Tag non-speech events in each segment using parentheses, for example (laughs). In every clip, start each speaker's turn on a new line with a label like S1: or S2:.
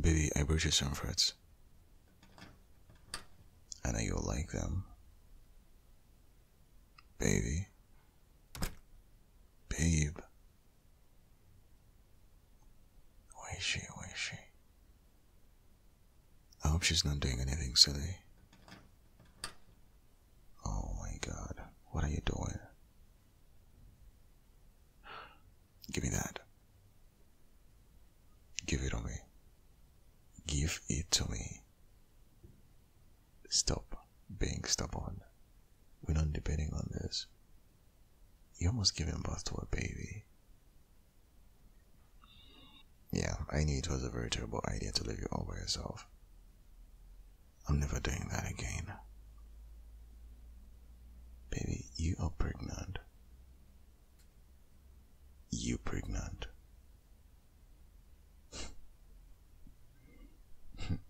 S1: Baby, I brought you some fruits. I know you'll like them. Baby. Babe. Where is she? Where is she? I hope she's not doing anything silly. Oh my god, what are you doing? Give me that. Give it to me. Give it to me. Stop being stubborn. We're not debating on this. You're almost giving birth to a baby. Yeah, I knew it was a very terrible idea to leave you all by yourself. I'm never doing that again. Baby, you are pregnant. You pregnant.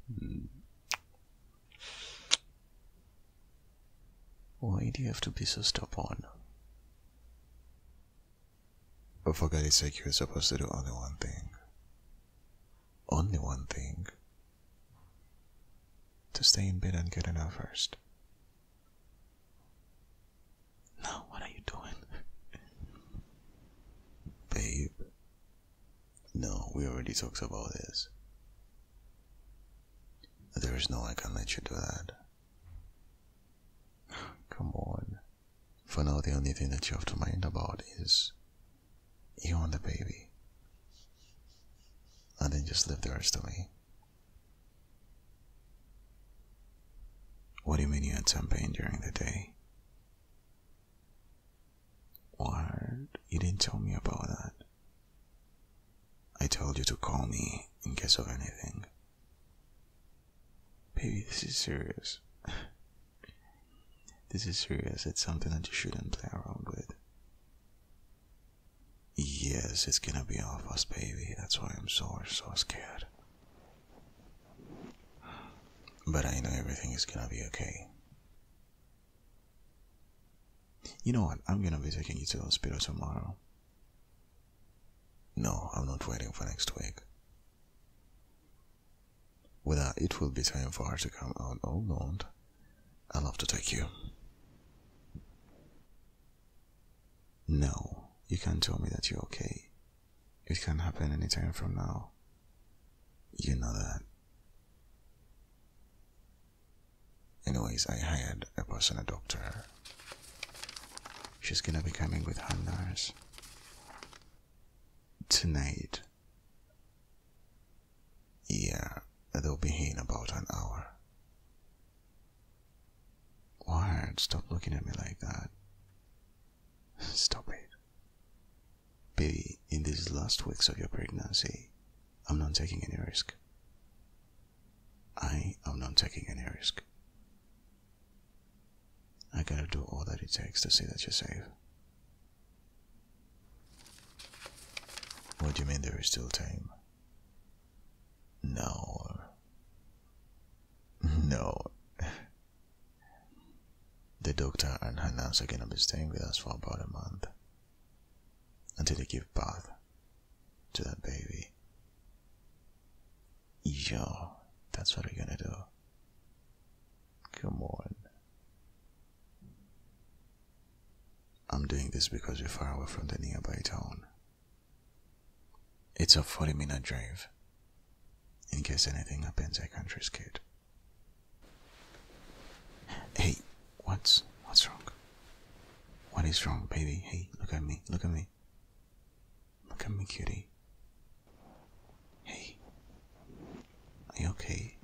S1: (laughs) Why do you have to be so stubborn? But for God's sake, you're supposed to do only one thing. Only one thing. To stay in bed and get an hour first. Now, what are you doing? Babe. No, we already talked about this. There is no I can let you do that. Come on. For now, the only thing that you have to mind about is you and the baby. And then just leave the rest to me. What do you mean you had some pain during the day? What? You didn't tell me about that. I told you to call me in case of anything. Baby, this is serious. (sighs) this is serious. It's something that you shouldn't play around with. Yes, it's gonna be our first baby. That's why I'm so, so scared. But I know everything is gonna be okay. You know what? I'm gonna be taking you to the hospital tomorrow. No, I'm not waiting for next week. Whether it will be time for her to come out or not, I'll have to take you. No, you can't tell me that you're okay. It can happen any time from now. You know that. Anyways, I hired a personal doctor. She's gonna be coming with her nurse tonight. Yeah, they'll be here in about an hour. Ward, stop looking at me like that. (laughs) Stop it. Baby, in these last weeks of your pregnancy, I'm not taking any risk. I am not taking any risk. I gotta do all that it takes to see that you're safe. What do you mean there is still time? No. (laughs) No. The doctor and her nurse are going to be staying with us for about a month until they give birth to that baby. Yo, that's what we're gonna do. Come on. I'm doing this because we're far away from the nearby town. It's a 40 minute drive. In case anything happens, I can't risk it. Hey, what's what's wrong? What is wrong, baby? Hey, look at me, look at me. Look at me, cutie. Hey. Are you okay?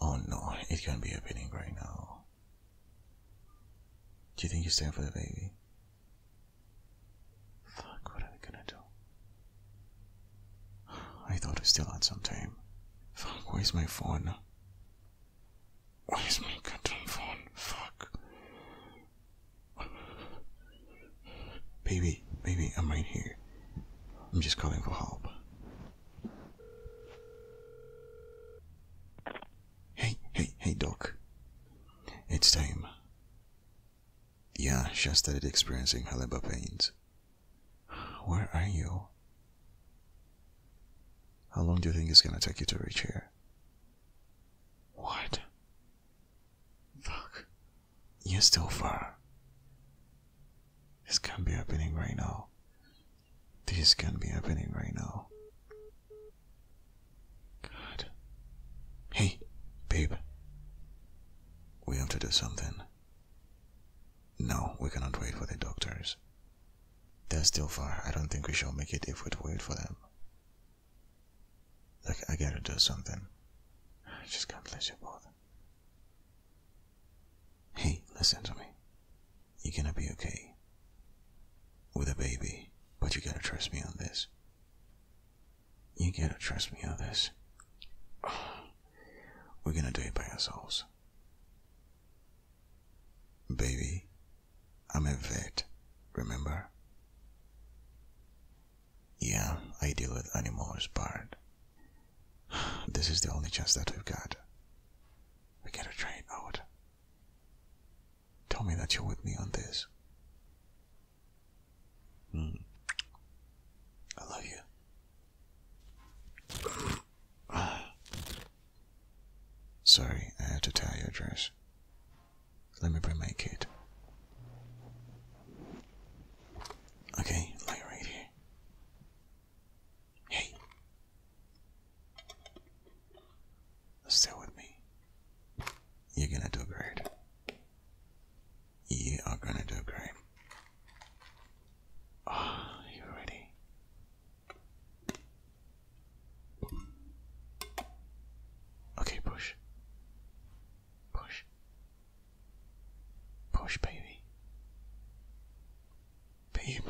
S1: Oh no, it can't be happening right now. Do you think you're time for the baby? Fuck, what are we gonna do? I thought I still had some time. Fuck, where's my phone? Where's my goddamn phone? Fuck. Baby, baby, I'm right here. I'm just calling for help. Hey, hey, hey, Doc. It's time. Yeah, she started experiencing her labor pains. Where are you? How long do you think it's gonna take you to reach here? What? Fuck. You're still far. This can't be happening right now. This can't be happening right now. God. Hey, babe. We have to do something. No, we cannot wait for the doctors. They're still far. I don't think we shall make it if we wait for them. Look, I gotta do something. I just can't let you both. Hey, listen to me. You're gonna be okay. With a baby, but you gotta trust me on this. You gotta trust me on this. We're gonna do it by ourselves. Baby, I'm a vet, remember? Yeah, I deal with animals, but this is the only chance that we've got. We gotta train out. Tell me that you're with me on this. Hmm. I love you. (sighs) Sorry, I had to tie your dress. Let me bring my kid. Okay, like right here. Hey, Stay with me. You're gonna do great. You are gonna do great. Ah, you ready? Okay, push. Push. Push, baby. Babe.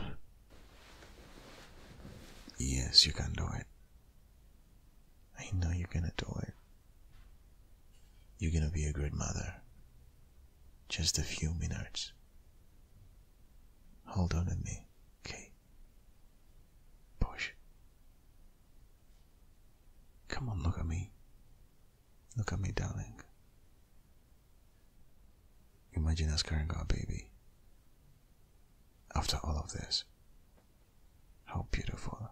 S1: Yes, you can do it. I know you're gonna do it. You're gonna be a great mother. Just a few minutes. Hold on to me, okay? Push. Come on, look at me. Look at me, darling. Imagine us carrying our baby. After all of this, how beautiful.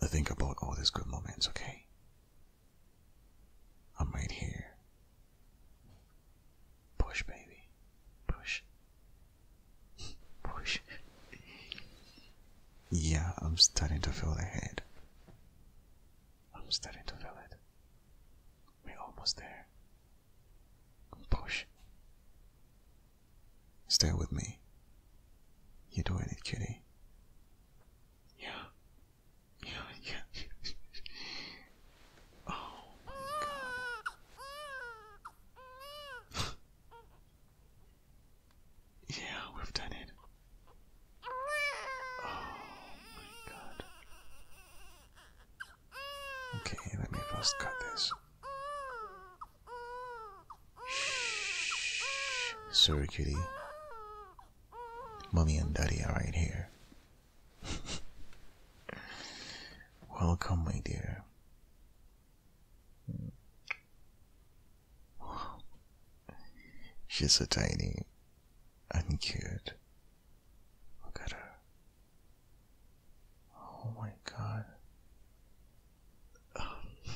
S1: I think about all these good moments, okay? I'm right here. Push, baby. Push. Push. yeah, I'm starting to feel the head. I'm starting to feel it. We're almost there. Push. Stay with me. you do it, kitty. Yeah. Yeah, yeah. (laughs) oh, God. (laughs) yeah, we've done it. Oh, my God. Okay, let me first cut this. Shh. Sorry, kitty. Mommy and daddy are right here. (laughs) Welcome, my dear. She's a tiny and Look at her. Oh my god. (laughs)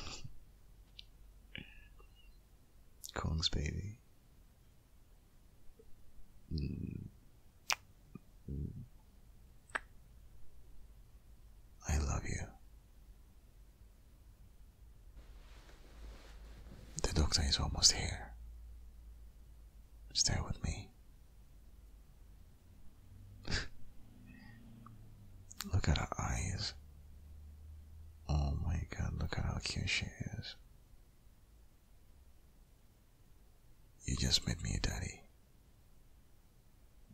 S1: Kong's baby. Mm. Mm. I love you. The doctor is almost here. Stay with me. (laughs) look at her eyes. Oh my god, look at how cute she is. You just made me a daddy.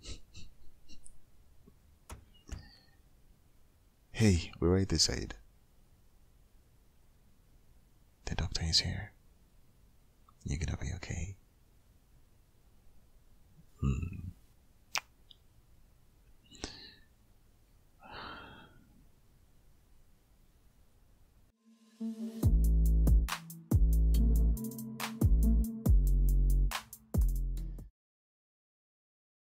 S1: (laughs) Hey, we're right this side. The doctor is here. You're gonna be okay.